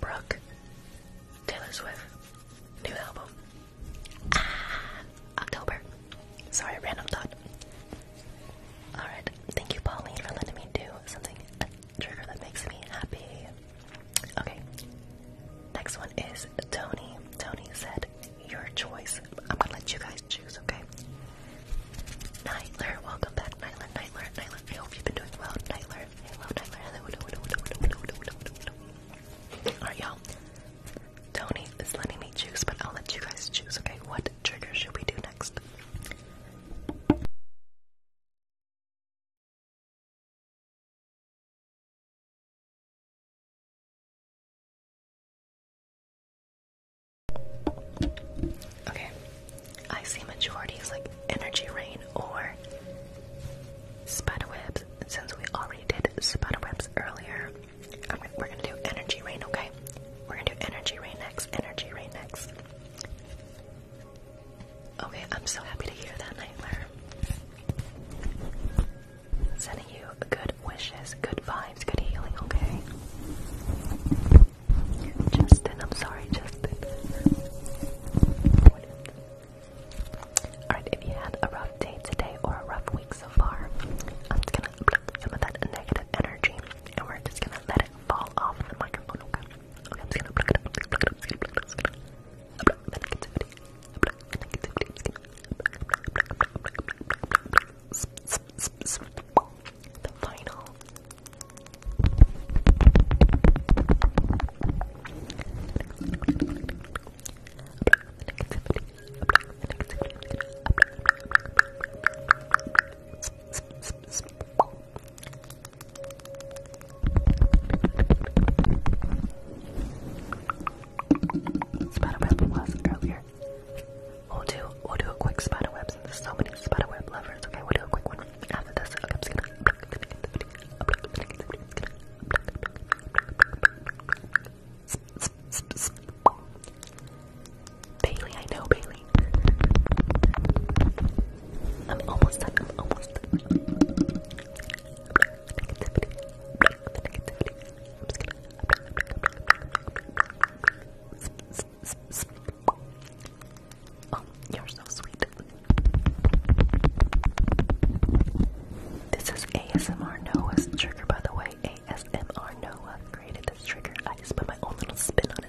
Brooke, Taylor Swift, new album. Ah, October. Sorry, random thought. Alright, thank you, Pauline, for letting me do something, trigger that makes me happy. Okay, next one is Tony. Tony said, Your choice. I'm gonna let you guys choose, okay? Nightler, welcome back, Nightler, Nightler, Nightler. I hope you've been doing well, Nightler. Hello, Nightler. Hello, hello, y'all. Tony is letting me choose, but I'll let you guys choose, okay? What trigger should we do next? Okay, I see majorities like energy rain or spiderwebs. Since we already did spiderwebs earlier, we're gonna do energy rain. Okay, we're gonna do energy rain next. Energy rain next. Okay, I'm so happy to hear that, Nightmare. Sending you good wishes, good vibes, good healing, okay? Justin, I'm sorry, Justin. Alright, if you had a rough day today or a rough week so far, I'm just gonna pluck some of that negative energy and we're just gonna let it fall off the microphone, okay? the final. It's about a was earlier. We'll do we'll do a quick spider web since there's so many spider web lovers. Okay, we'll do a quick one after this. Bailey, I know Bailey. I'm almost done. almost done. I'm just gonna you're so sweet. This is ASMR Noah's trigger, by the way. ASMR Noah created this trigger. I just put my own little spin on it.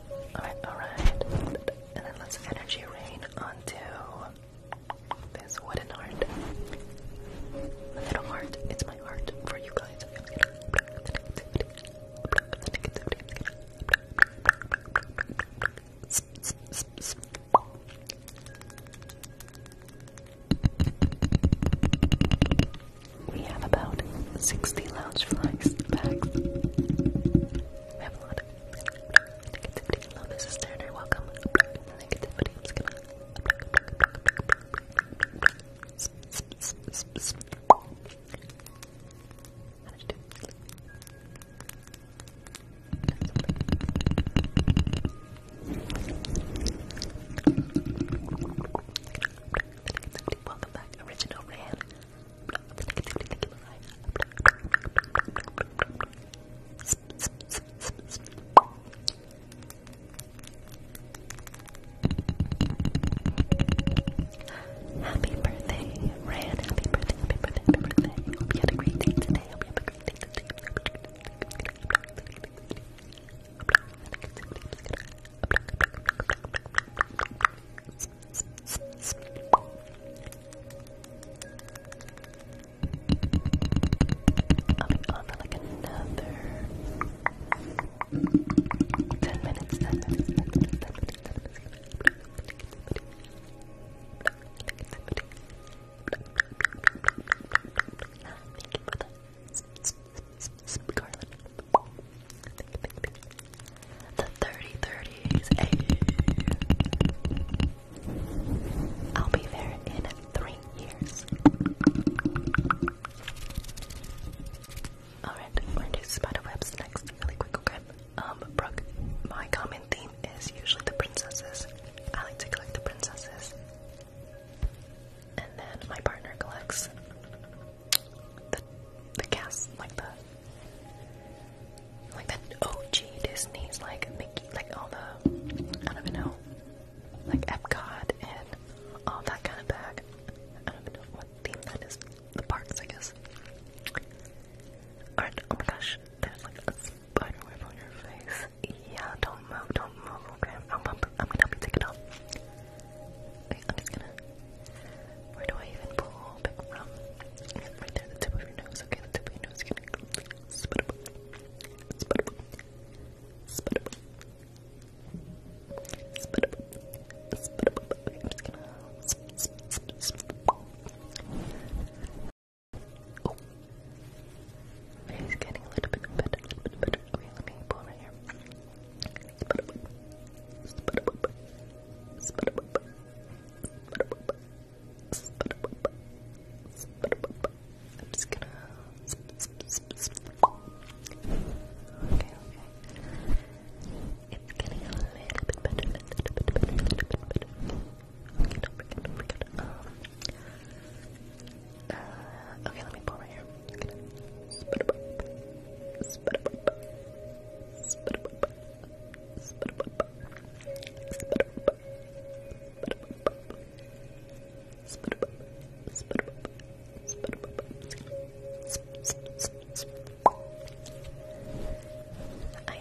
Alright, alright. And then let's energy rain onto this wooden heart. little heart. It's my heart for you guys. We have about 60 lounge flags bags. We have a lot of negativity. Hello, this is Turner. Welcome. Negativity. I'm just Welcome back, original Ran. Happy birthday, Ran. Happy birthday, happy birthday, happy birthday. Hope you had a great day today. Hope you have a great day today. I'll be on for like another 10 minutes, 10 minutes, 10 minutes, 10 minutes, 10 minutes, 10 minutes. Thank you for the garland. The 3030s. Hey. I'll be there in three years. Alright, we're gonna do spiderwebs next, really quick, okay? Um, Brooke, my common theme is usually the princesses. I like to collect the princesses. And then my partner collects the the cast like the like the OG Disney's like Mickey like all the I don't even know like Epcot and all that kind of bag. I don't even know what theme that is. The parks I guess. Alright, oh my gosh, there's like a spider web on your face. Yeah, don't move, don't move, okay. I'm, gonna help you take it off. I'm just gonna. Where do I even pull back from? Right there, the tip of your nose. Okay, the tip of your nose. I'm just gonna. Oh, it's getting a little bit better, a little bit better. Okay, let me pull right here. I'm just gonna. Okay, okay. Okay, let me pull right here. I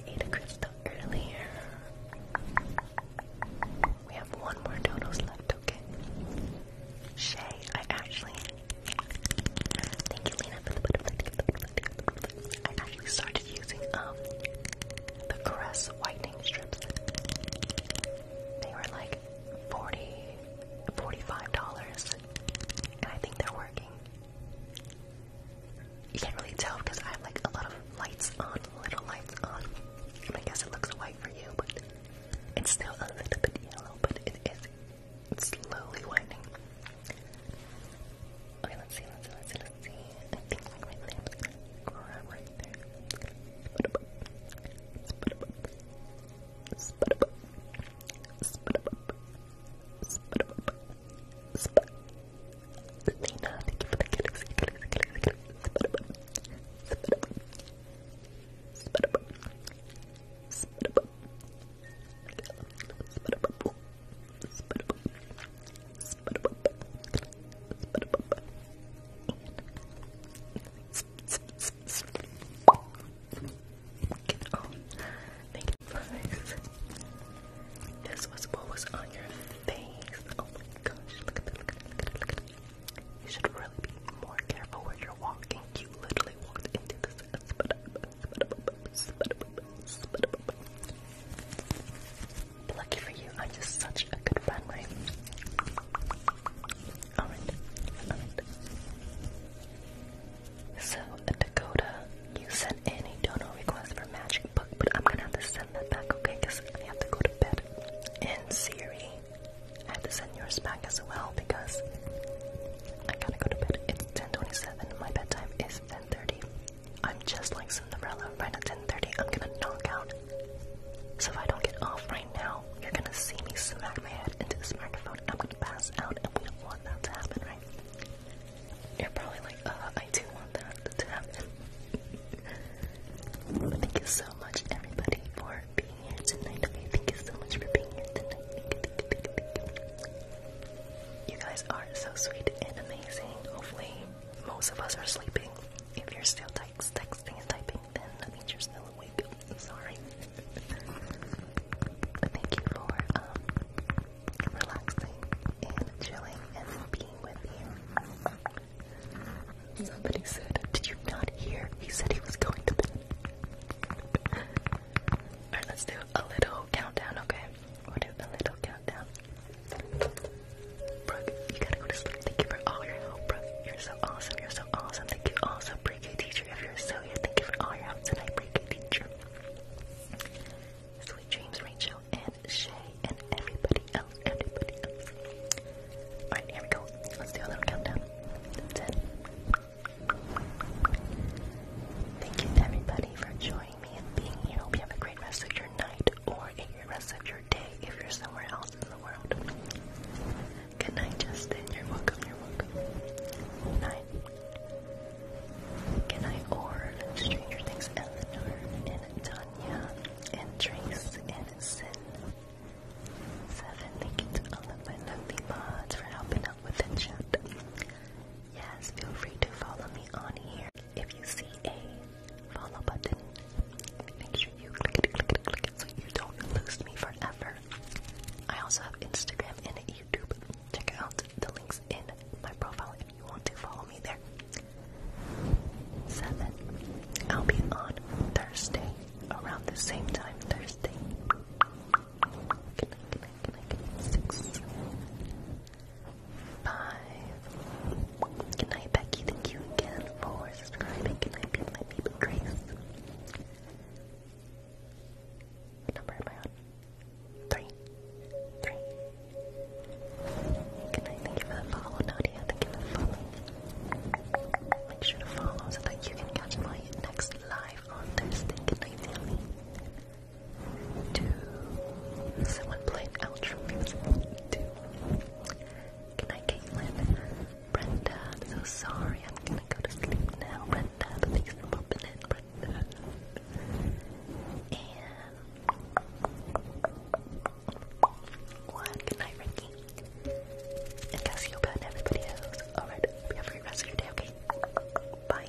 ate a crystal earlier. We have one more donuts left, Shay, I actually Thank you, Lena, for the butterfly. I actually started using um the Caress whitening strips. They were like 40 $45 and I think they're working. You can't really tell because I have like a lot of lights on, little lights on. I guess it looks white for you, but it's still a little bit yellow, but it is slowly winding. Okay, let's see, let's see, let's see, I think like right there, i gonna grab right there. Oh, thank you this. was what was on your face. Oh my gosh, look at that, look at that, look at that, You should really be more careful where you're walking. You literally walked into this. Lucky for you, I'm just such a good friend, right? Alright, So, Dakota, you sent any donor request for Magic Book, but I'm gonna have to send that back, okay? Because I have to go to bed. And Siri, I have to send yours back as well because I gotta go to bed. It's 10:27. My bedtime is 10:30. I'm just like Cinderella. Right at 10:30, I'm gonna knock out. So if I don't get off right now, you're gonna see me smack my head into this microphone. I'm gonna pass out, and we don't want that to happen, right? You're probably like, uh, I do want that to happen. Thank you so much, everybody, for being here tonight. thank you so much for being here tonight. You guys are so sweet and amazing. Hopefully, most of us are sleeping. If you're still texting and typing, then that means you're still awake. sorry. but thank you for um, relaxing and chilling and being with you. Somebody said, "Did you not hear?" He said he was going to bed. Alright, let's do a little countdown, okay? We'll do a little countdown. Brooke, you gotta go to sleep. Thank you for all your help, Brooke. You're so awesome. You're so awesome. Thank you also, pre-K teacher. If you're still here, thank you for all your help tonight, pre-K teacher. Sweet dreams, Rachel and Shay and everybody else. Everybody else. Alright, here we go. Let's do a countdown. 10, Thank you to everybody for joining me and being here. Hope you have a great rest of your night or a your rest of your day if you're somewhere else in the world. Good night, Justin. You're welcome. You're welcome. Good night. Good night, or Stranger Things, Eleanor and Tanya and Trace and Sin. Seven. Thank you to all of my lovely mods for helping out with the chat. Yes, feel free to follow me on here. If you see a follow button, make sure you click it, so you don't lose me forever. I also have Instagram and YouTube. Check out the links in my profile if you want to follow me there. 7. I'll be on Thursday around the same time Thursday six, five. Good night, Becky. Thank you again for subscribing. Good night, be my baby Grace. number am I on? Three. Three. Good night. Thank you for the follow, Nadia. Thank you for the Make sure to follow so that you can catch my next live on Thursday. Good night, family. Two. Someone played outro music. Two. Good Caitlin. Brenda, I'm so sorry. I'm gonna go to sleep now. Brenda, thanks for popping in, Brenda. And what? Good Ricky. And Cassiopeia and everybody else. Alright, have a great rest of your day, okay? Bye.